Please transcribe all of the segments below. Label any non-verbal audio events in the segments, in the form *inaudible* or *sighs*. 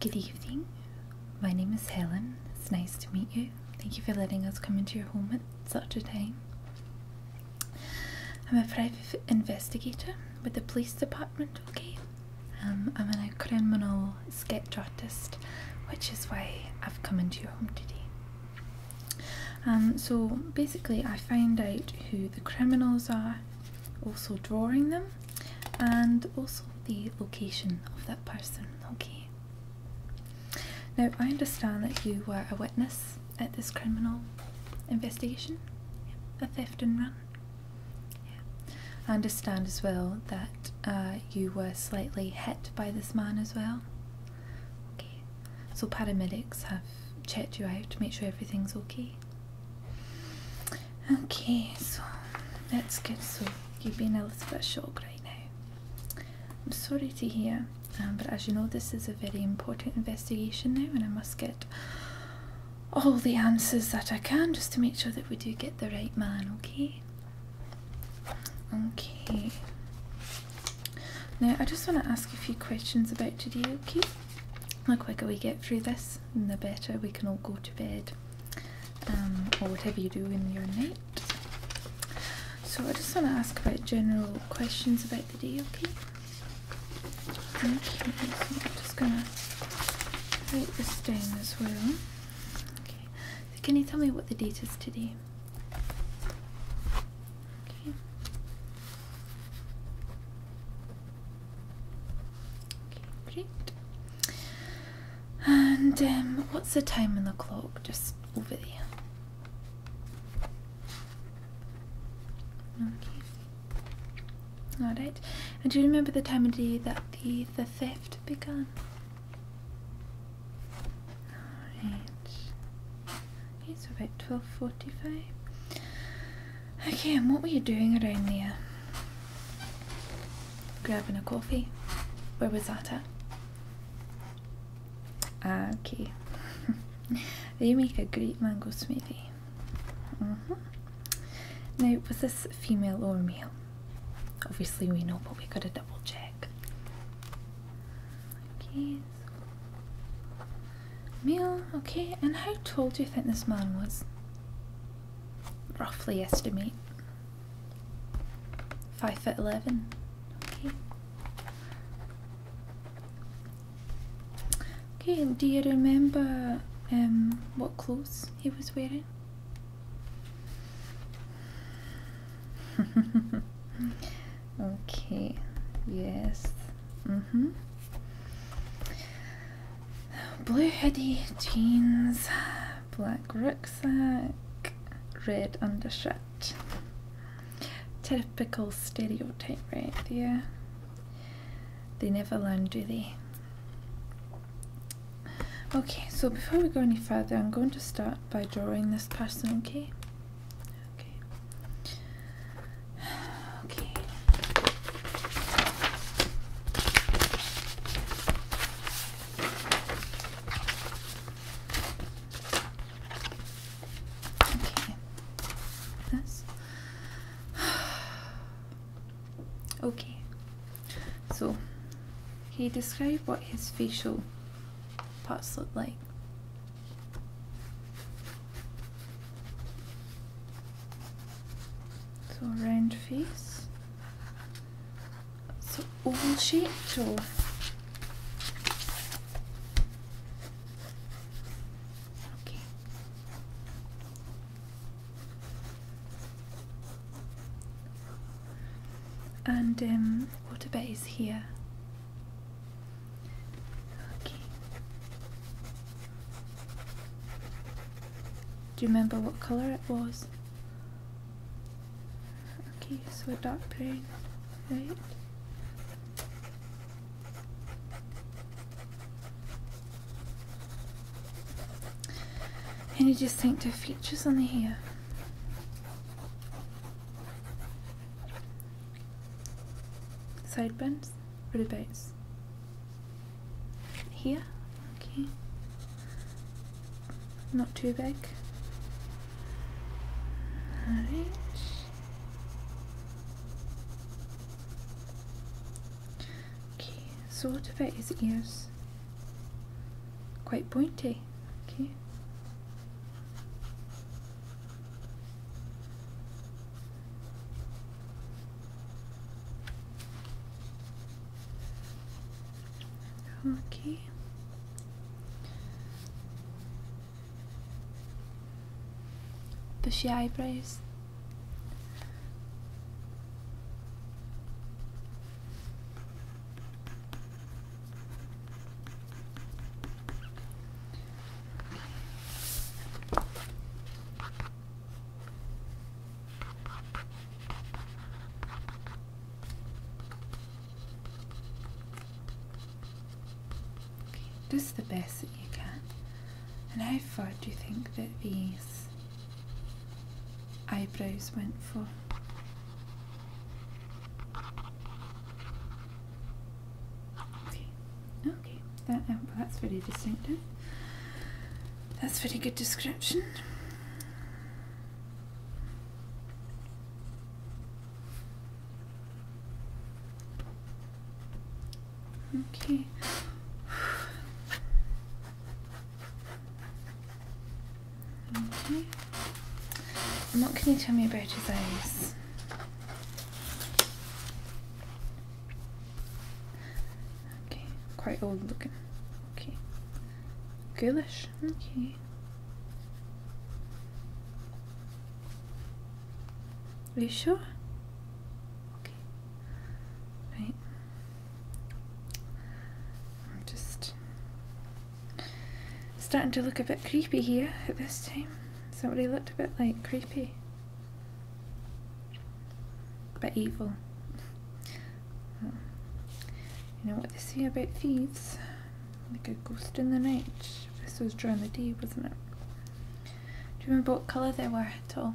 Good evening. My name is Helen. It's nice to meet you. Thank you for letting us come into your home at such a time. I'm a private investigator with the police department, okay? Um, I'm a criminal sketch artist, which is why I've come into your home today. Um, so basically, I find out who the criminals are, also drawing them, and also the location of that person, okay? Now, I understand that you were a witness at this criminal investigation, a theft and run. I understand as well that uh, you were slightly hit by this man as well. Okay, so paramedics have checked you out to make sure everything's okay. Okay, so that's good. So you've been a little bit shocked right now. I'm sorry to hear, um, but as you know, this is a very important investigation now, and I must get all the answers that I can just to make sure that we do get the right man, okay? Okay. Now, I just want to ask a few questions about you. okay? the quicker we get through this, the better we can all go to bed um, or whatever you do in your night. So I just want to ask about general questions about the day, okay? so I'm just going to write this down as well. Okay. can you tell me what the date is today? Okay. Okay, great. And um, what's the time on the clock? Just over there. Okay. Alright. And do you remember the time of day that the, the theft began? Alright. Okay, so about 12.45. Okay, and what were you doing around there? Grabbing a coffee? Where was that at? Ah, okay. *laughs* they make a great mango smoothie. Mm -hmm. Now, was this female or male? Obviously, we know, but we gotta double check. Okay, male, okay, and how tall do you think this man was? roughly estimate. Five foot eleven. Okay. Okay, do you remember um what clothes he was wearing? *laughs* okay, yes. Mm-hmm. Blue hoodie, jeans, black rucksack, red undershirt. Typical stereotype right there. They never learn, do they? Okay, so before we go any further, I'm going to start by drawing this person, okay? Okay. *sighs* Okay. Okay. This. *sighs* okay. So, he described what his facial parts look like? So round face. So oval shaped okay. And um, what about is here? Okay. Do you remember what colour it was? Okay, so a dark blue, right? And you just think the features on the hair. Sideburns, rib outs, here okay not too big alright okay so what about his ears quite pointy okay Okay. Push eyebrows. Okay, just the best that you can. And how far do you think that these eyebrows went for? Okay, okay, that, um, that's very distinctive. That's very good description. Okay. Okay. And what can you tell me about his eyes? Okay, quite old looking. Okay. Ghoulish? Okay. Are you sure? Okay. Right. I'm just starting to look a bit creepy here at this time. Somebody looked a bit like creepy but evil. You know what they say about thieves? Like a ghost in the night. This was during the day, wasn't it? Do you remember what colour they were at all?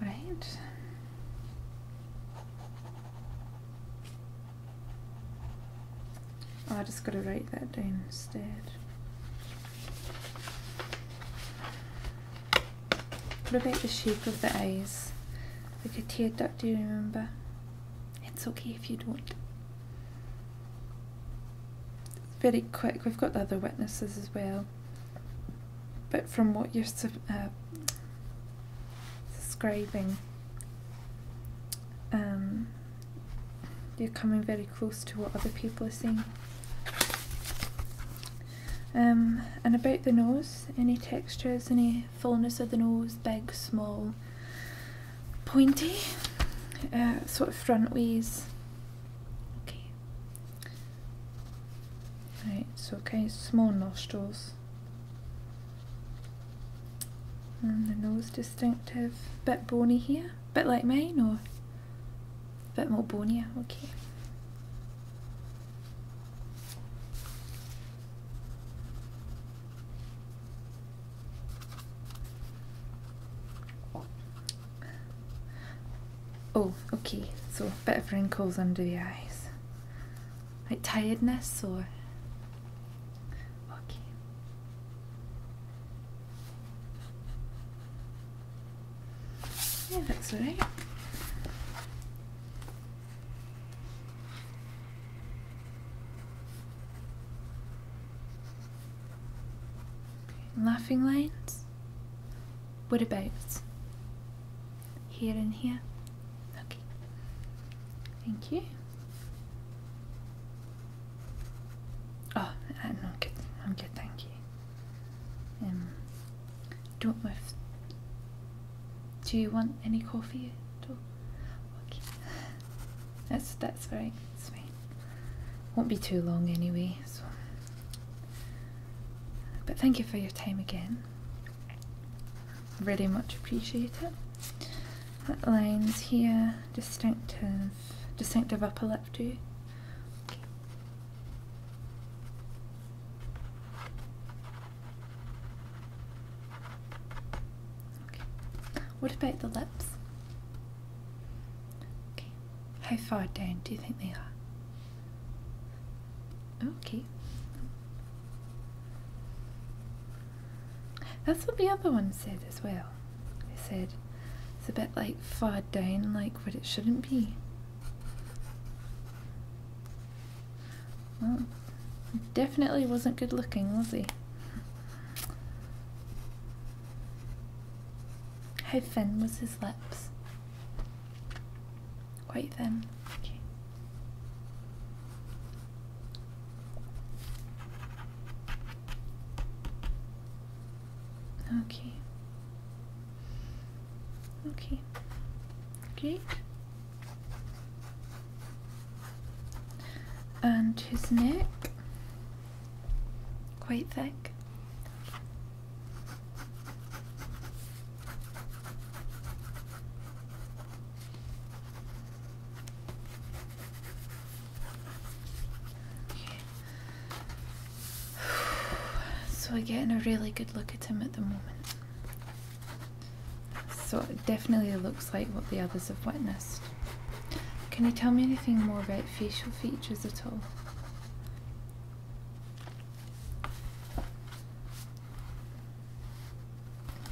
Right. Oh, I just got to write that down instead. What about the shape of the eyes? Like a tear duct, do you remember? It's okay if you don't. very quick, we've got the other witnesses as well. But from what you're uh, describing, um, you're coming very close to what other people are seeing. Um, and about the nose, any textures, any fullness of the nose, big, small, pointy, uh, sort of front Okay. Right, so okay, small nostrils. And the nose distinctive, bit bony here, bit like mine or bit more bonier, okay. Oh, okay, so better wrinkles under the eyes. Like tiredness or. Okay. Yeah, that's right. Laughing lines? What about here and here? Okay. Thank you. Oh, I'm good. I'm good, thank you. Um, don't know if. Do you want any coffee at all? That's, that's alright, it's fine. Won't be too long anyway, so. But thank you for your time again. Really much appreciate it. That line's here, distinctive, distinctive upper lip too. What about the lips? How far down do you think they are? Okay. That's what the other one said as well. They said it's a bit like far down like what it shouldn't be definitely wasn't good looking, was he? How thin was his lips? Quite thin. Okay. Okay, great. And his neck, quite thick. Okay. *sighs* So we're getting a really good look at him at the moment. So it definitely looks like what the others have witnessed. Can you tell me anything more about facial features at all?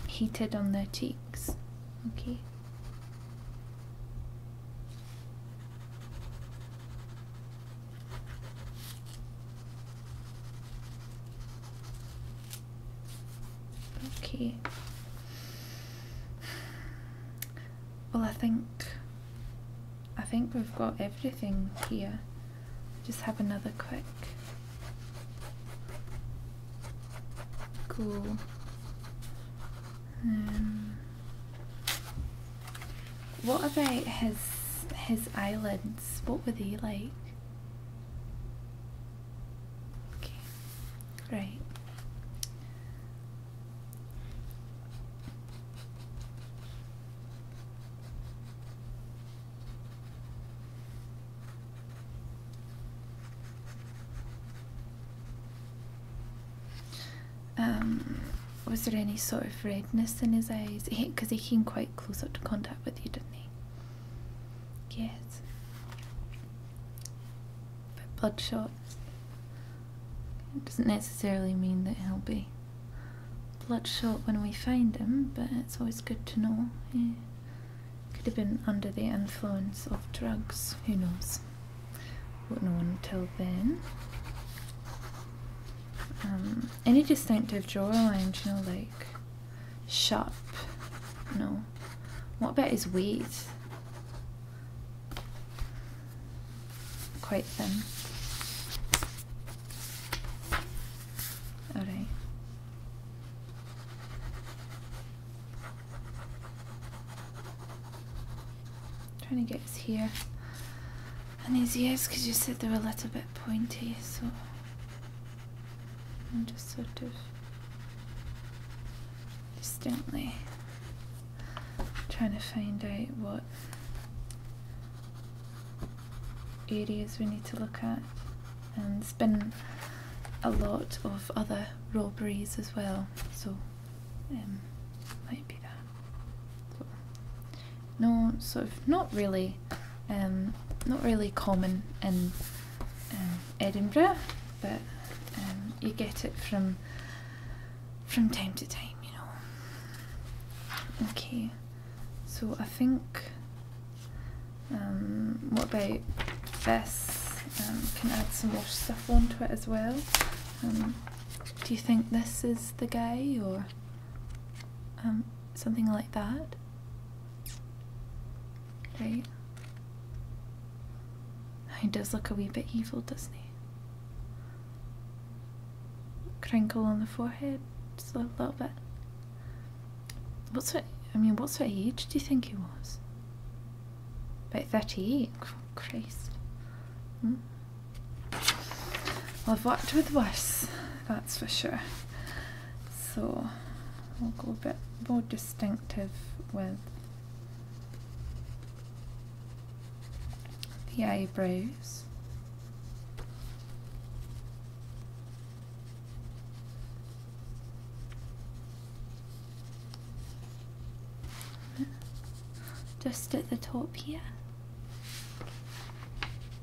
Heated on their cheeks. Okay. Okay. Well, I think I think we've got everything here. Just have another quick Cool. Um, what about his his eyelid? What were they like? Okay, right. Um, was there any sort of redness in his eyes? Because he, can quite close up to contact with you, didn't he? Yes. But bloodshot doesn't necessarily mean that he'll be bloodshot when we find him, but it's always good to know. Could have been under the influence of drugs, who knows? Won't know until then. Um, any distinctive jawline, you know, like sharp. No. What about his weight? Quite thin. Alright. Trying to get his here. And his ears, because you said they are a little bit pointy, so I'm just sort of distinctly trying to find out what areas we need to look at. And it has been a lot of other robberies as well, so it um, might be that no sort of not really um, not really common in um, Edinburgh but um, you get it from from time to time you know okay so I think um, what about this can add some more stuff onto it as well do you think this is the guy or something like that Right? He does look a wee bit evil, doesn't he? Crinkle on the forehead, just a little bit. What's what? I mean, what's his age do you think he was? About thirty-eight. Oh, Christ. Hmm? I've worked with worse, that's for sure. So we will go a bit more distinctive with P. A. eyebrows. Just at the top here.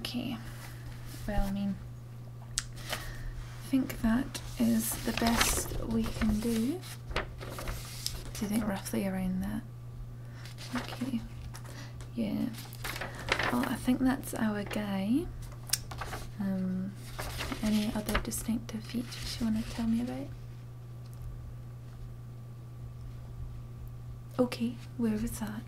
Okay, well, I mean, I think that is the best we can do. Do you think roughly around there. Okay, yeah. Well, I think that's our guy. Um, any other distinctive features you want to tell me about? Okay, where was that?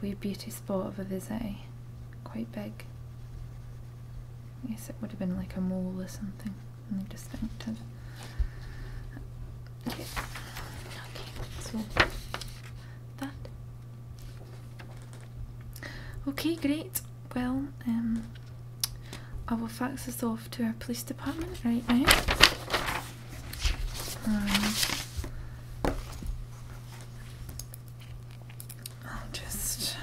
Weird beauty spot of a visit, Quite big. I guess it would have been like a mall or something. Only distinctive. Okay. Okay, so that. Okay, great well, um, I will fax this off to our police department right now. Um, I'll just.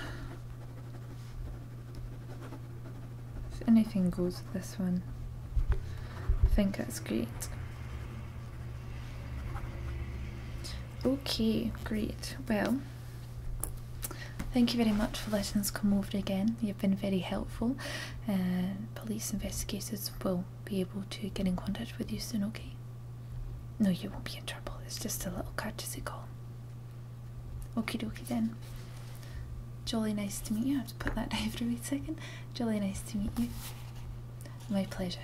If anything goes with this one, I think that's great. Okay, great. Well, Thank you very much for letting us come over again. You've been very helpful. Uh, police investigators will be able to get in contact with you soon, okay? No, you won't be in trouble. It's just a little courtesy call. Okie dokie then. Jolly nice to meet you. I have to put that down for a wee second. Jolly nice to meet you. My pleasure.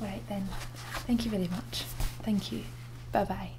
Right then. Thank you very much. Thank you. Bye bye.